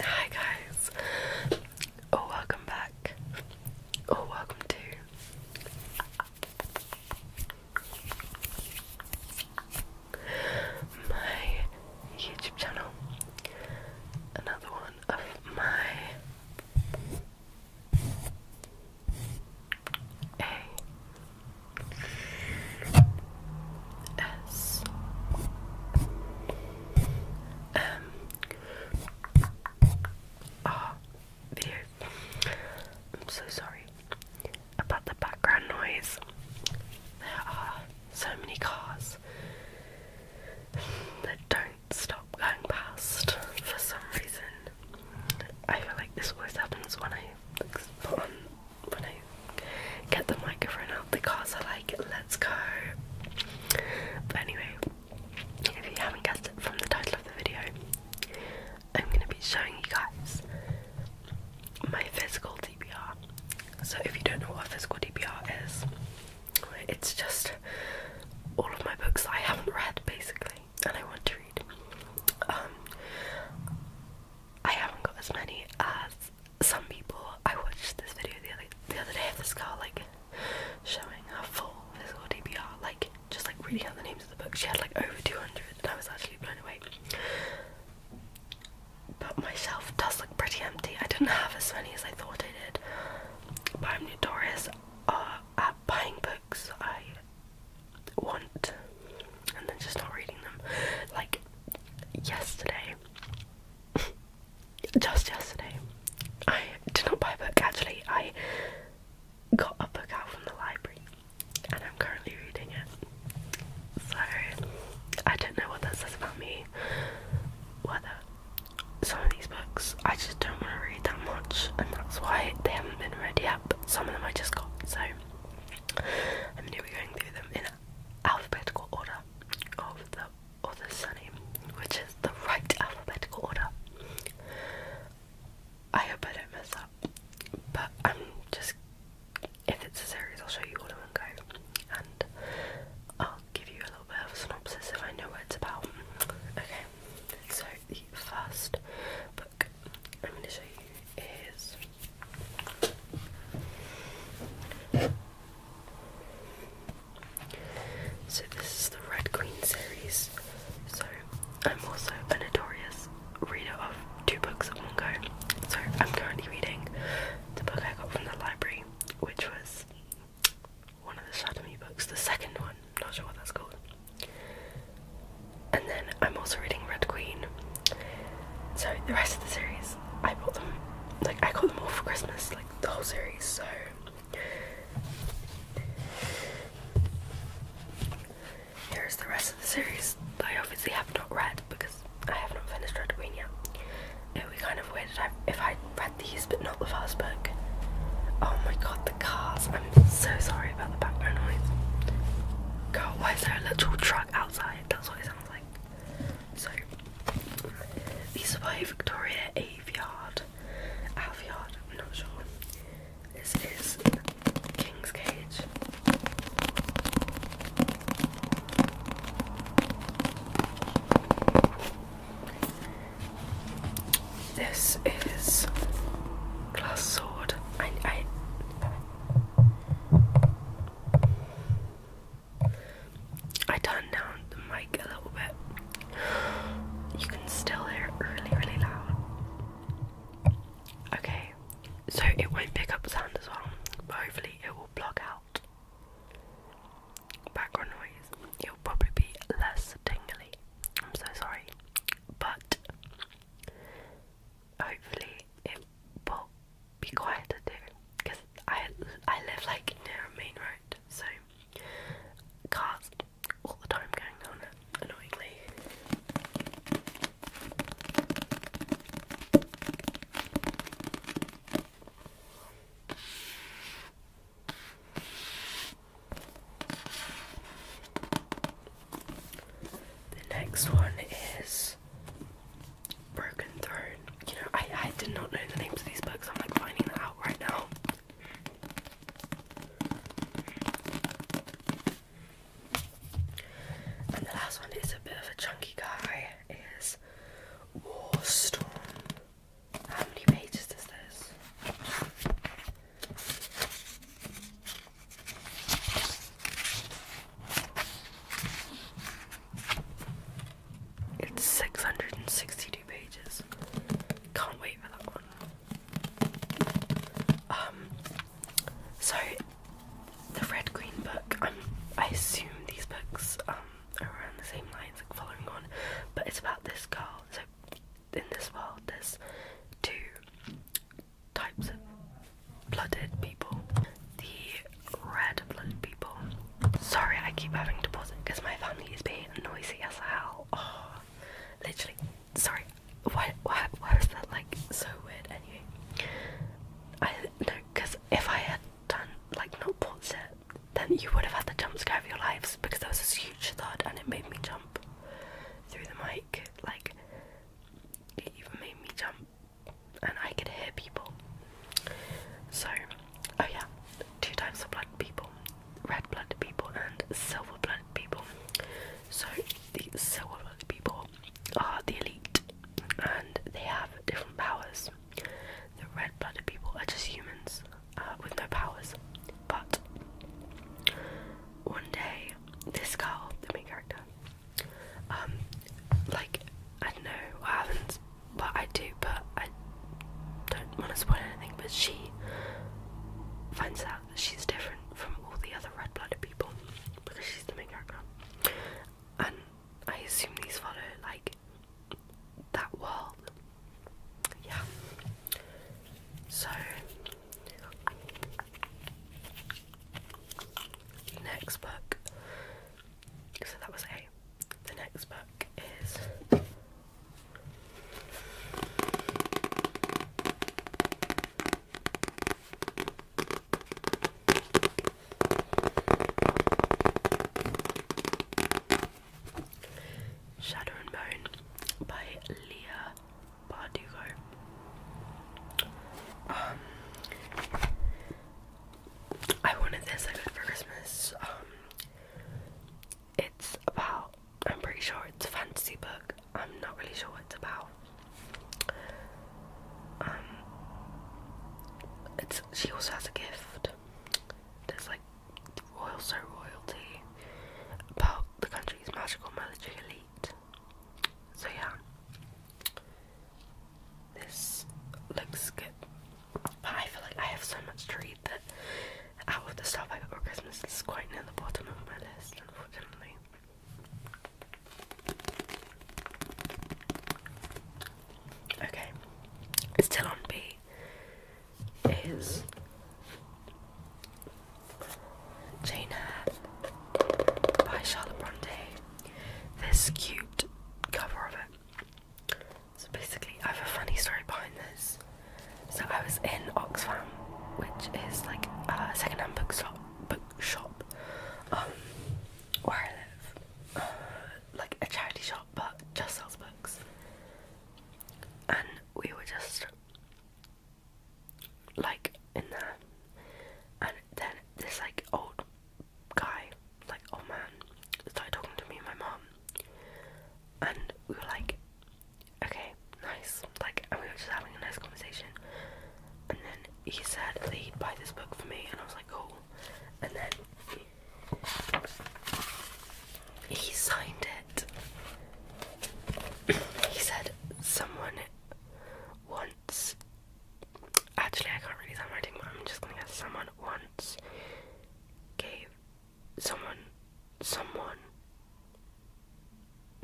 Hi guys, oh welcome back, oh welcome to my YouTube channel, another one of my S M R video. I'm so sorry about the background noise. There are so many cars that don't stop going past for some reason. I feel like this always happens when I put on when I get the microphone out the cars are like let's go but anyway if you haven't guessed it from the title of the video I'm gonna be showing you guys my physical DPR so if you don't know what physical DPR is it's just all of my books I haven't read basically and I want to read um, I haven't got as many as some people I watched this video the other the other day of this girl like showing her full physical DBR, like just like reading out the names of the books. She had like over two hundred and I was actually blown away. But my shelf does look pretty empty. I didn't have as many as I thought I did. But I'm notorious uh, at buying books I want and then just not reading them. Like yesterday just yesterday. I did not buy a book actually, I got a book out from the library and I'm currently reading it. So I don't know what that says about me. Whether some of these books I just don't want to read that much and that's why they haven't been read yet, but some of them I just got, so I'm gonna be going through them in alphabetical order of the or the surname, which is the right alphabetical order. I hope I don't mess up, but I'm just. If it's a series, I'll show you all in one go, and I'll give you a little bit of a synopsis if I know what it's about. Okay, so the first book I'm going to show you is so this is the Red Queen series. So I'm also a notorious reader of two books at one go. So I'm currently reading the book I got from the library, which was one of the Shadowy books, the second one, not sure what that's called. And then I'm also reading Red Queen. So the rest of the series, I bought them, like I got them all for Christmas, like the whole series, so here's the rest of the series. I obviously have not read because I have not finished Red Queen yet. It would be kind of weird if I read these but not the first book. Oh my god, the cars. I'm so sorry about the background noise. Girl, why is there a little truck outside? That's what it sounds like. So these are by Victoria Aveyard. Aveyard, I'm not sure. This is King's Cage. This is Glass Sword. I turned down the mic a little bit. You can still hear it really, really loud. Okay, so it won't pick up sound as well, hopefully it will block out background noise. It'll probably be less tingly. I'm so sorry, but hopefully it will be quieter too, because I I live like near a main road, so cars all the time going on, it annoyingly. The next one is Broken Throne. You know, I, I did not know the names of these books. I'm like finding that out right now. And the last one is a bit of a chunky guy. Is Warstorm. How many pages is this? It's 662 pages. Can't wait for that one. Um, so the Red Green book, um, I assume these books um, are on the same lines, like following on, but it's about this girl. So in this world, there's two types of blooded people. The incredible people. Sorry, I keep having to pause it because my family is being noisy as hell. Oh, literally. Sorry. Why? Why? Why is that like so weird? Anyway, I no, because if I had done like not pause it, then you would have had the jump scare of your lives because there was this huge thud and it made me jump through the mic. Like it even made me jump and I could hear people. So, oh yeah, two types of blood people red blooded people and silver blooded people. So, the silver blooded people are the elite and they have different powers. The red blooded people are just humans uh, with no powers. But one day, this girl, the main character, um, like I don't know, what happens, but I do but I don't want to spoil anything but she finds out that she's different from all the other red blooded people because she's the main character. And I assume these follow like that world. Yeah. So next book. So that was A the next book is Shadow and Bone by Leigh Bardugo. Um, I wanted this I got for Christmas. Um, it's about I'm pretty sure it's a fantasy book. I'm not really sure what it's about. Um, it's she also has a gift. There's like royal so royalty about the country's magical military elite. So yeah, this looks good. But I feel like I have so much to read that out of the stuff I got for Christmas, it's quite near the bottom of my list, unfortunately. Okay, it's still on B. Is Jane Eyre by Charlotte Bronte? This cute cover of it. So basically, I have a funny story behind this. So I was in Oxfam, which is like a secondhand bookshop, bookshop, um, where I live, uh, like a charity shop, but just sells books. And we were just like in there, and then this like old guy, like old man, started talking to me and my mom, and we were like, okay, nice, like, and we were just having a nice conversation, and then he said he'd buy this book for me, and I was like, cool, and then he, signed it. he said, someone wants. Actually, I can't really handwriting, but I'm just gonna guess someone once gave someone someone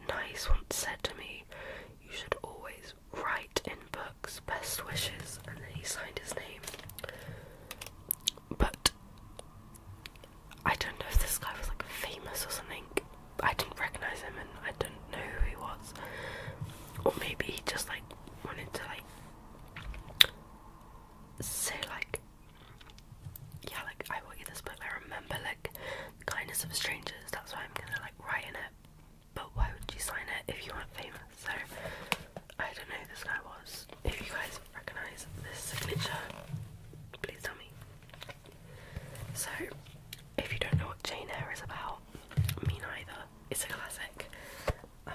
nice once said to me, You should always write in books best wishes and then he signed his name. But I don't know if this guy was like famous or something. I didn't recognise him and I didn't know who he was. Or maybe he just like wanted to like so like yeah like I will get this book I remember like kindness of strangers that's why I'm gonna like write in it but why would you sign it if you weren't famous so I don't know who this guy was if you guys recognise this signature please tell me so if you don't know what Jane Eyre is about me neither it's a classic um,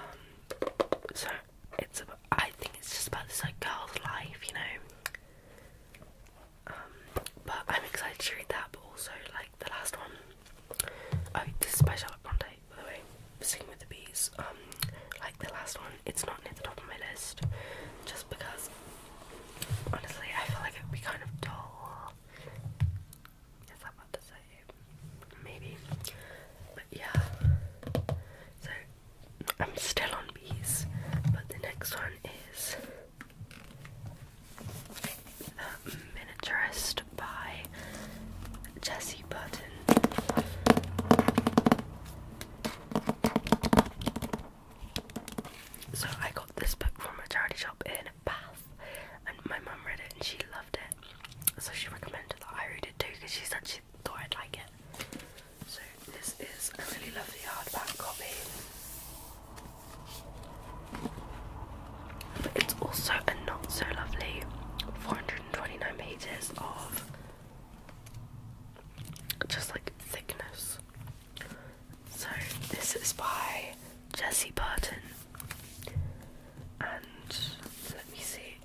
so it's I think it's just about this like girl's life, you know. Um, but I'm excited to read that, but also like the last one. Oh, this is by Charlotte Bronte, by the way. Singing with the Bees. Um, like the last one, it's not near the top of my list, just because honestly I feel like it would be kind of dull. Yes, I'm about to say maybe, but yeah. So I'm still on bees, but the next one is Miniaturist by Jessie Burton. So I got this book from a charity shop in Bath, and my mum read it and she loved it. So she recommended that I read read because she said she thought I'd like it. So this is a really lovely hardback copy. But it's also a not so lovely 429 pages of just like thickness. So this is by Jesse Burton. And let me see,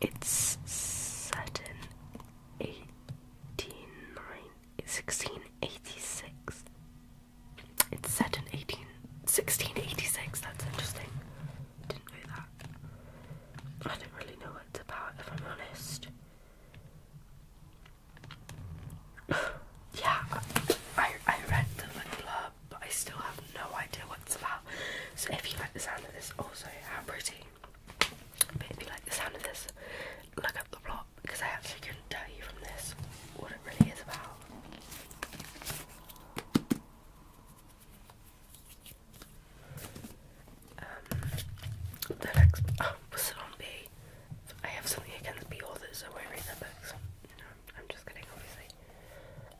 it's set in 1686. It's set in 18, 1686, that's interesting. Didn't know that. I don't really know what it's about if I'm honest yeah, I, I read the like blurb, but I still have no idea what it's about. So if you like the sound of this, also have pretty. But if you like the sound of this, look up the plot because I actually couldn't tell you from this what it really is about. Um, the next oh, was it on B? I have something against B authors, I read their books. I'm just kidding, obviously.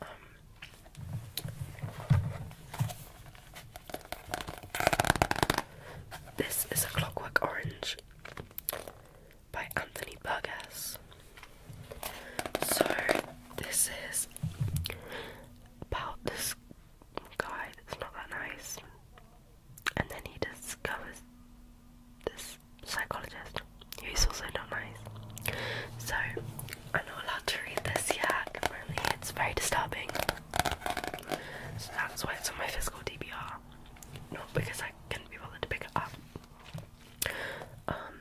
Um, this is a Clockwork Orange by Anthony Burgess. So this is about this guy that's not that nice, and then he discovers this psychologist who's also not nice. So I'm not allowed to read this yet. Apparently it's very disturbing. So that's why it's on my physical DBR. Not because I could be bothered to pick it up. Um,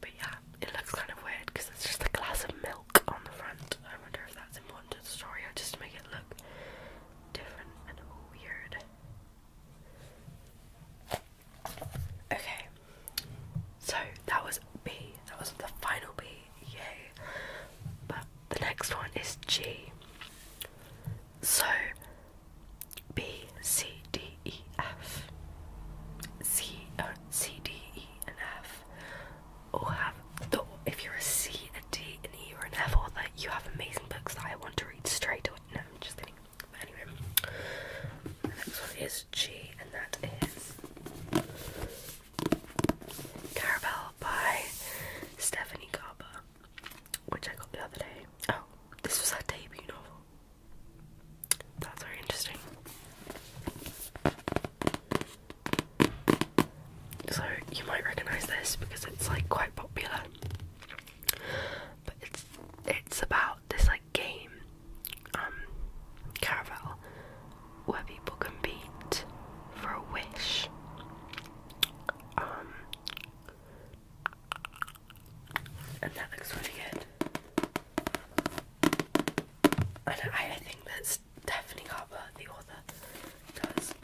but yeah, it looks kind of weird because it's just a glass of milk on the front. I wonder if that's important to the story or just to make it look different and weird. Okay, so that was B. That was the final B. Yay! But the next one is G. So B C D E F C uh, and F all have the if you're a C, a D, and E, or an F, all you have amazing books that I want to read straight away. No, I'm just kidding anyway, next one is G, and that is Caramel by Stephanie Carper, which I got the other day. Oh, this was her debut novel. That's very interesting. So you might recognise this because it's like quite popular. But it's it's about this like game, um, caravel, where people compete for a wish. Um, and that looks really good. And I, think that's Stephanie Harper, the author, does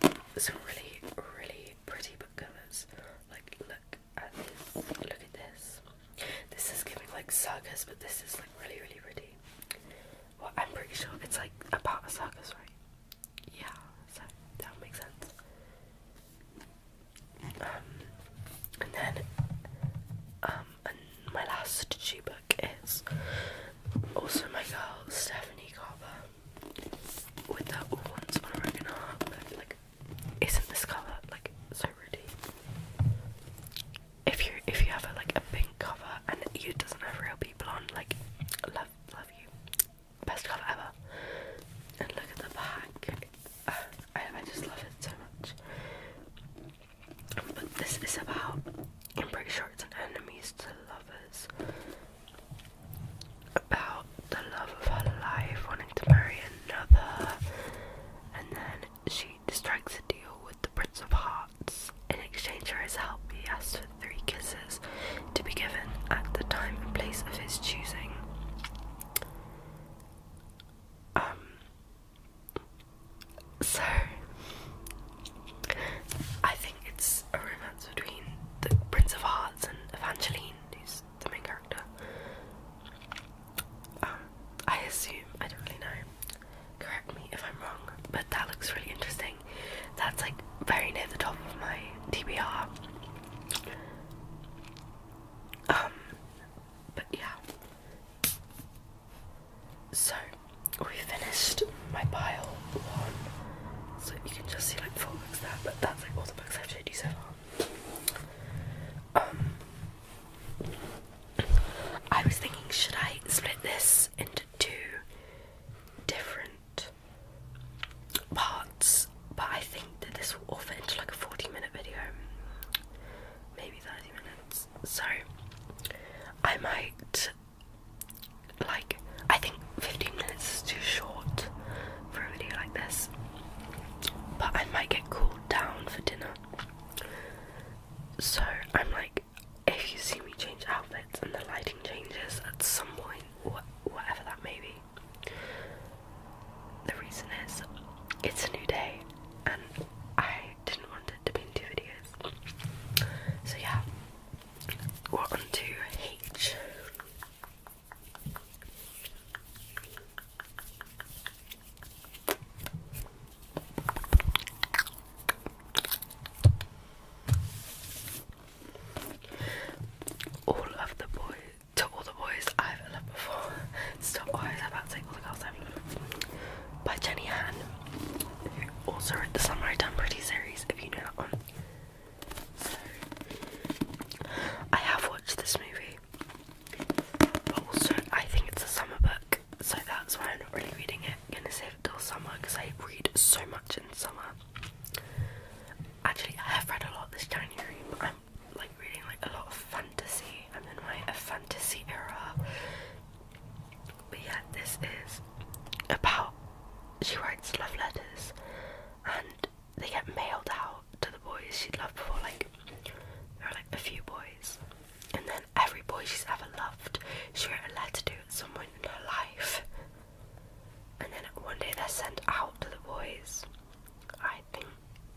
some really, really pretty book covers. Like, look this. Look at this. This is giving like circus, but this is like really, really pretty. Well, I'm pretty sure it's like a about of circus, right? Yeah, so that makes sense. Um, and then, um, my last she book is also my girl Stephanie Carver with her All Once on Oregon Heart, like isn't this colour like so ruddy? If you if you have a, like a pink cover and it doesn't have real people on, like love love you, best cover ever. And look at the back. I I just love it so much. But this is about. I'm pretty sure it's an enemies to lovers about the love of her life wanting to marry another, and then she strikes a deal with the Prince of Hearts in exchange for his help. He asks for three kisses to be given at the time and place of his choosing. Um. So, I think it's a romance between the Prince of Hearts and Evangeline, the main character. Um, I assume, I don't really know. Correct me if I'm wrong, but that looks really interesting. That's like very near the top of my TBR. Um, but yeah. So we finished my pile one. So you can just see like four books there, but that's like all the books I've showed you so far. Um, I was thinking, should I split this into two different parts? But I think that this will all fit into like a 40 minute video, maybe 30 minutes. So I might like, I think 15 minutes is too short, for a video like this. But I might get cooled down for dinner. So I'm like, if you see me change outfits and the lighting changes at some point, whatever that may be, the reason is it's a new day and I didn't want it to be in two videos. So yeah, we're on to H. All of the boys, to all the boys I've loved before. Stop, oh, about to say all the girls I've loved By Jenny Han, also wrote the Samurai Done Pretty series, if you know that one. I have watched this movie. But also, I think it's a summer book, so that's why I'm not really reading it. I'm gonna save it till summer because I read so much in summer. Actually, I have read a lot this January, but I'm like reading like a lot of fantasy. I'm in my fantasy era. But yeah, this is about she writes love letters and they get mailed out to the boys she'd loved before, like there are like a few boys, and then every boy she's ever loved, she wrote a letter to at some point in her life. And then one day they're sent out to the boys. I think,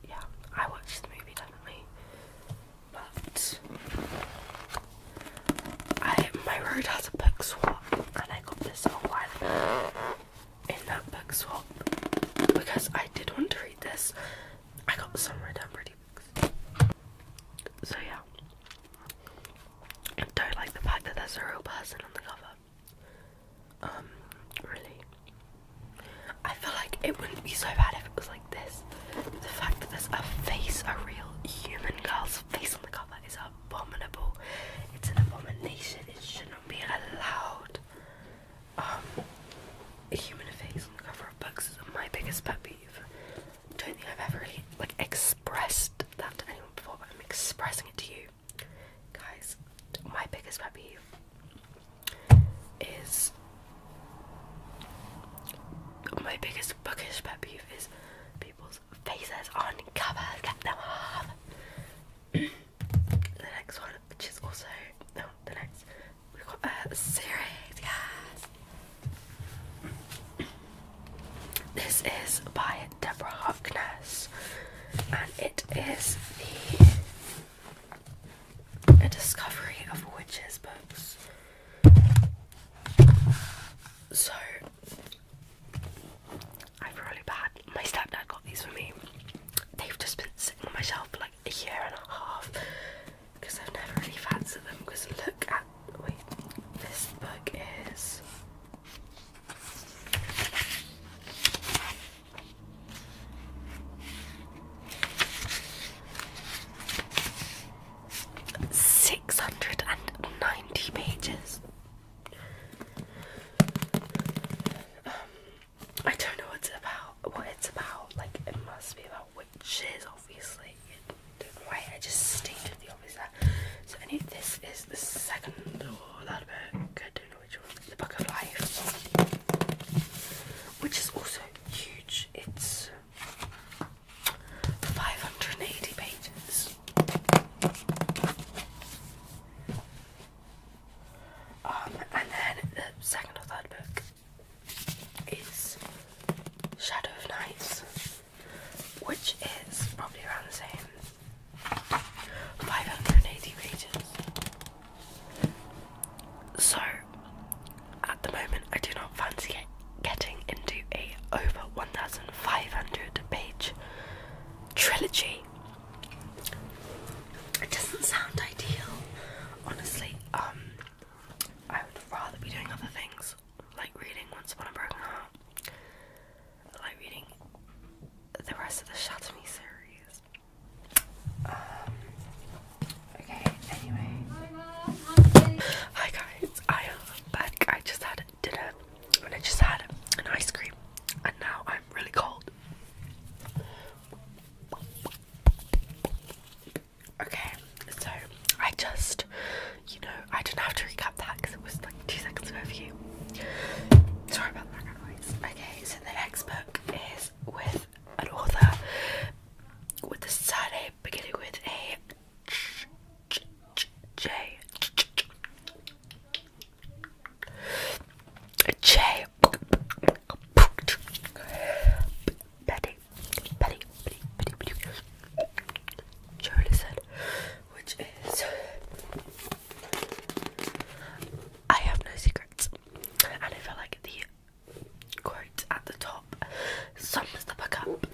yeah, I watched the movie definitely, but I my road has a book swap, and I got this whole while in that book swap because I did want to read this. I got some Red and Pretty books. So yeah. I don't like the fact that there's a real person on the cover. Um, really. I feel like it wouldn't be so bad if it was like this. The fact that there's a face, a real human girl's face on the cover is abominable. It's an abomination. It shouldn't be allowed um, human face on the cover of books is my biggest pet peeve. Don't think I've ever like expressed that to anyone before, but I'm expressing it to you, guys. My biggest pet peeve is my biggest bookish pet peeve is people's faces on covers. Let them off the next one, which is also no, the next we've got a series, yes. This is by Deborah Harkness, and it is the a discovery of witches books. So i have really bad. My stepdad got these for me. They've just been sitting on my shelf for like a year and a half because I've never really fancied them. Because look at wait, this book is. Six hundred and ninety pages. Um, I don't know what it's about what it's about. Like it must be about witches, obviously. Don't wait, I just stated the obvious there. So anyway, this is the second or that book. I don't know which one. The Book of Life. Which is also huge. It's 580 pages. Um, and then the second or third book is Shadow of Knights, which is probably around the same 580 pages. So, at the moment, I do not fancy getting into a over 1500 page trilogy it doesn't sound ideal, honestly. Um, I would rather be doing other things, like reading Once Upon a Broken Heart, like reading the rest of the Shatter Me series. Um, okay, anyway. Hi guys, I am back. I just had dinner and I just had an ice cream, and now I'm really cold. Okay, so I just, you know, I didn't have to recap that because it was like two seconds ago for you. Sorry about the background Okay, so the next book is with an author with the surname beginning with a J. J. Betty, Betty, Betty, Betty, Betty. Charlie said, which is I have no secrets. And I feel like the quote at the top sums the book up.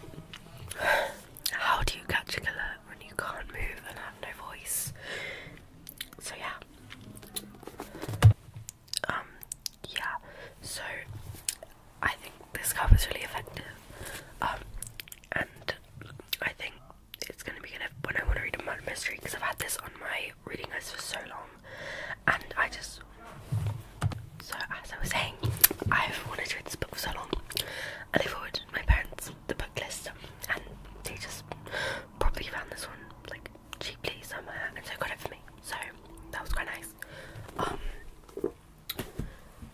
How do you catch a killer when you can't move and have no voice? so yeah. Um, yeah, so I think this cover is really effective. Um, and I think it's gonna be gonna when I want to read a murder mystery because I've had this on my reading list for so long, and I just so as I was saying, I've wanted to read this book for so long, and I forwarded my parents the book list, and they just probably found this one like cheaply somewhere and so got it for me. So that was quite nice. Um,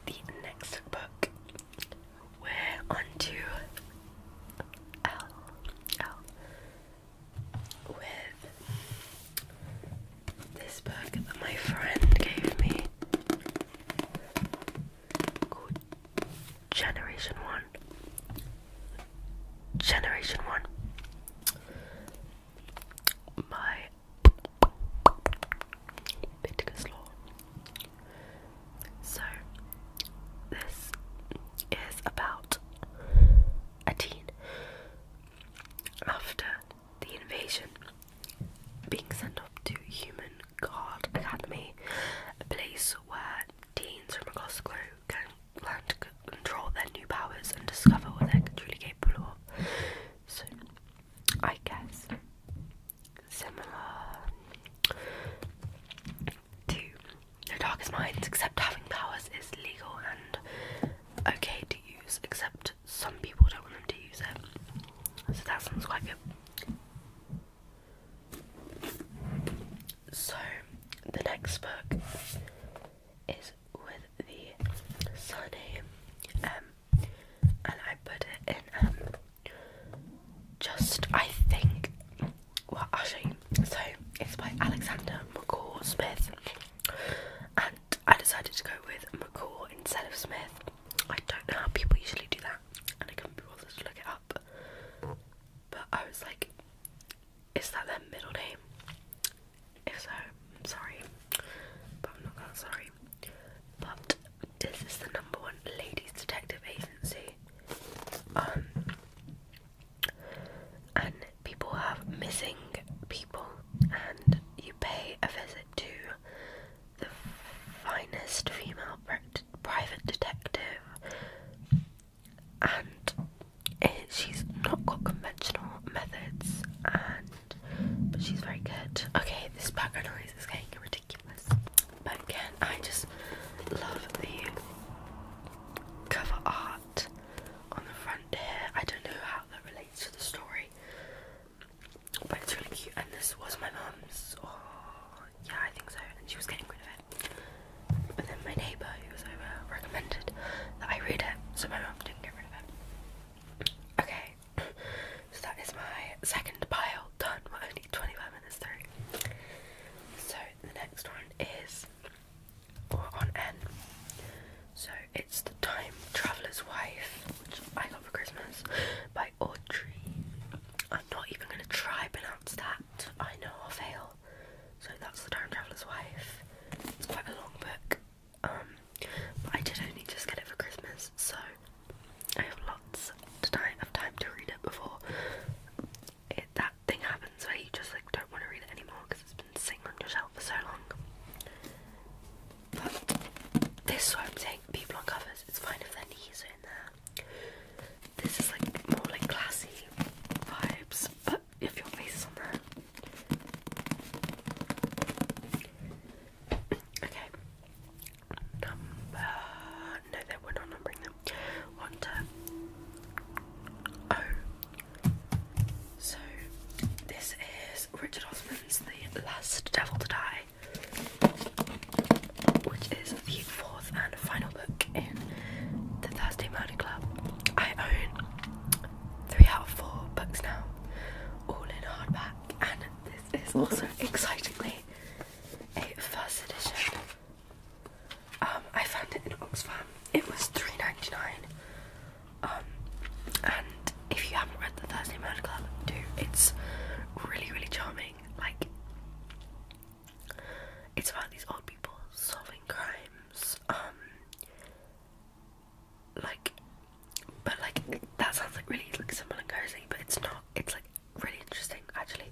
the next book we're on L L with this book that my friend gave me Generation 1. Generation 1. My Bittger's Law. So, this is about a teen after the invasion being sent off to Human Guard Academy, a place where teens from across the globe can learn to control their new powers and discover what they're truly capable of. So, I guess similar to The Darkest Minds, except having powers is legal and okay to use, except some people don't want them to use it. So that sounds quite good. So, the next book is with the surname um, and I put it in um, just, I think, well, i So, it's by Alexander McCall Smith, and I decided to go with McCall instead of Smith. I don't know how people usually do that, and I couldn't be bothered to look it up. But I was like, is that their middle name? If so, I'm sorry. But I'm not that sorry. But this is the number one ladies detective agency. Um and people have missing people and you pay a visit to the finest female private detective and she's not got conventional methods, and but she's very good. Okay, this background noise is getting ridiculous, but again, I just love the cover art on the front here. I don't know how that relates to the story, but it's really cute. And this was my mum's, or oh, yeah, I think so, and she was getting rid of it. But then my neighbour who was over recommended that I read it, so my mum didn't get rid of it. Okay, so that is my second pile done. We're only 25 minutes through. So the next one is on N. So it's The Time Traveller's Wife, which I got for Christmas, by Audrey. I'm not even going to try pronounce that. I know I'll fail. So that's The Time Traveler's Wife. It's quite a long book. Um, but I did only just get it for Christmas, so I have lots of time, to read it before it, that thing happens where you just like don't want to read it anymore because it's been sitting on your shelf for so long. But this one, I'm saying people on covers. It's fine if their knees are in there. This is like more like classy vibes, but if you face is on Okay. Number no, we're not numbering them. One oh. So this is Richard Osman's The Last Devil to Die, which is the fourth fourth and final book in the Thursday Murder Club. I own three out of four books now, all in hardback, and this is also excitingly a first edition. Um, I found it in Oxfam. It was £3.99, um, and if you haven't read the Thursday Murder Club, do. It's really, really charming. Like it's about these old people solving crimes. Um, like, but like that sounds like really like simple and cozy, but it's not. It's like really interesting actually.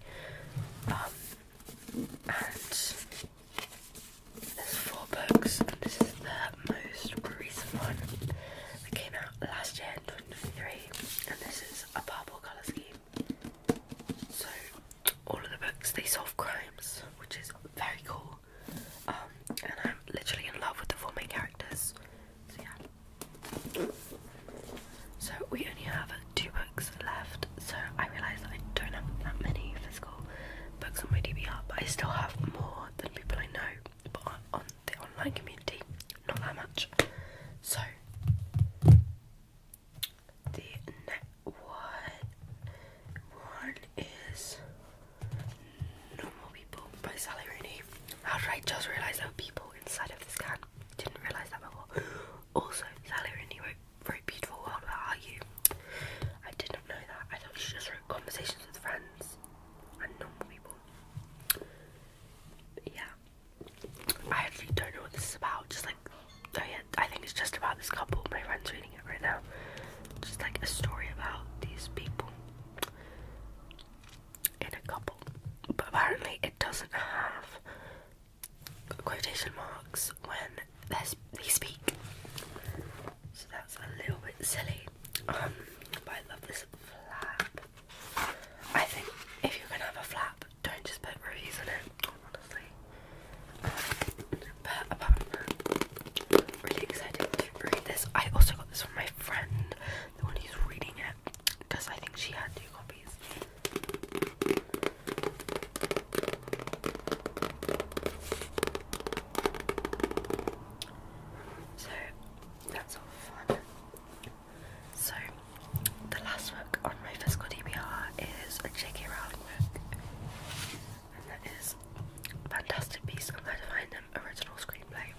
Um, and there's four books, and this is the most recent one that came out last year in and this is a purple colour scheme. So all of the books they solve crimes, which is very cool. Um, and I'm literally in love with the four main characters. So yeah. So we only have two books left. So I realise that I don't have that many physical books on my DBR, but I still have more than people I know, but on the online community, not that much. So the next one one is normal people by Sally Rooney. How did I just realise there are people inside of this can? Didn't realise that before. Also, Sally Rooney wrote very beautiful world. Where are you? I did not know that. I thought she just wrote conversations with friends and normal people. yeah, I actually don't know what this is about. Just like oh yeah, I think it's just about this couple. My friend's reading it right now. Just like a story about these people in a couple. But apparently, it doesn't have quotation marks when they speak. So that's a little bit silly. Um, but I love this flap. I think if you're gonna have a flap, don't just put reviews on it, honestly. really excited to read this. I also got this from my friend, the one who's reading it, because I think she had two copies. So that's all fun. So the last book on my physical DBR is a J.K. Rowling selling work. Fantastic Beasts and Where Them original screenplay.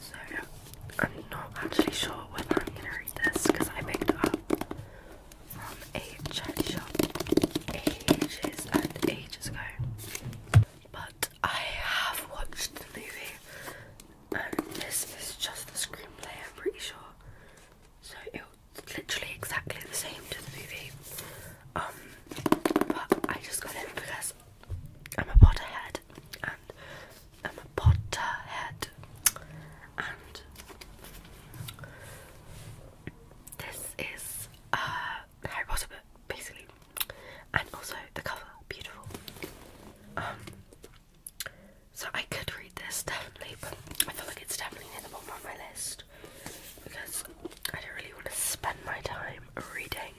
So I'm not actually sure whether I'm gonna read this because I picked up from a charity shop ages and ages ago. But I have watched the movie and this is just the screenplay I'm pretty sure. So literally exactly the same to the movie. Um, but I just got it because I'm a Potterhead, and I'm a Potterhead, and this is uh, Harry Potter basically, and also the cover, beautiful. Um, so I could read this definitely, but I feel like it's definitely near the bottom of my list because I don't really want to spend my time reading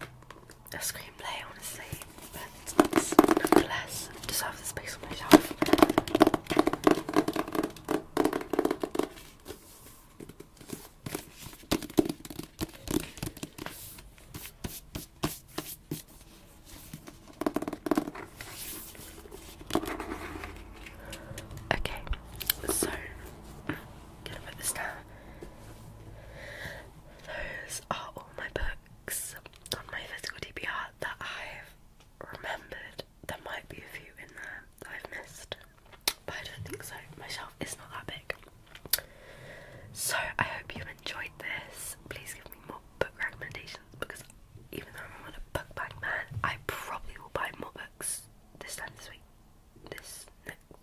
a screenplay, honestly. But it's nonetheless deserves a space on my shelf. Okay, so I'm going this down. Those are all my books on my physical DPR that I've remembered. There might be a few in there I've missed, but I don't think so. My shelf is not that big. So I hope you enjoyed this. Please give me more book recommendations because even though I'm on a book bag man, I probably will buy more books this time this week. This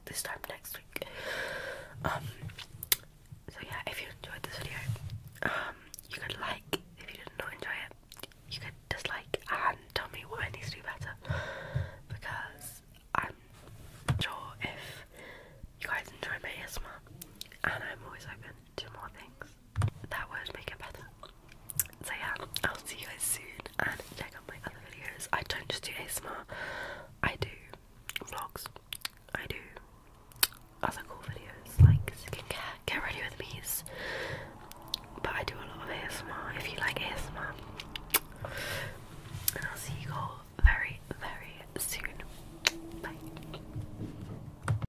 this time next week. Um so yeah, if you enjoyed this video, um you could like if you did not enjoy it, you could dislike and tell me what I need to do better. Because I'm sure if you guys enjoy my ASMR and I'm always open to more things that would make it better. So yeah, I'll see you guys soon and check out my other videos. I don't just do ASMR, I do vlogs, I do other cool videos like skincare, get ready with me's. But I do a lot of ASMR if you like ASMR. I'll see you all very, very soon. Bye.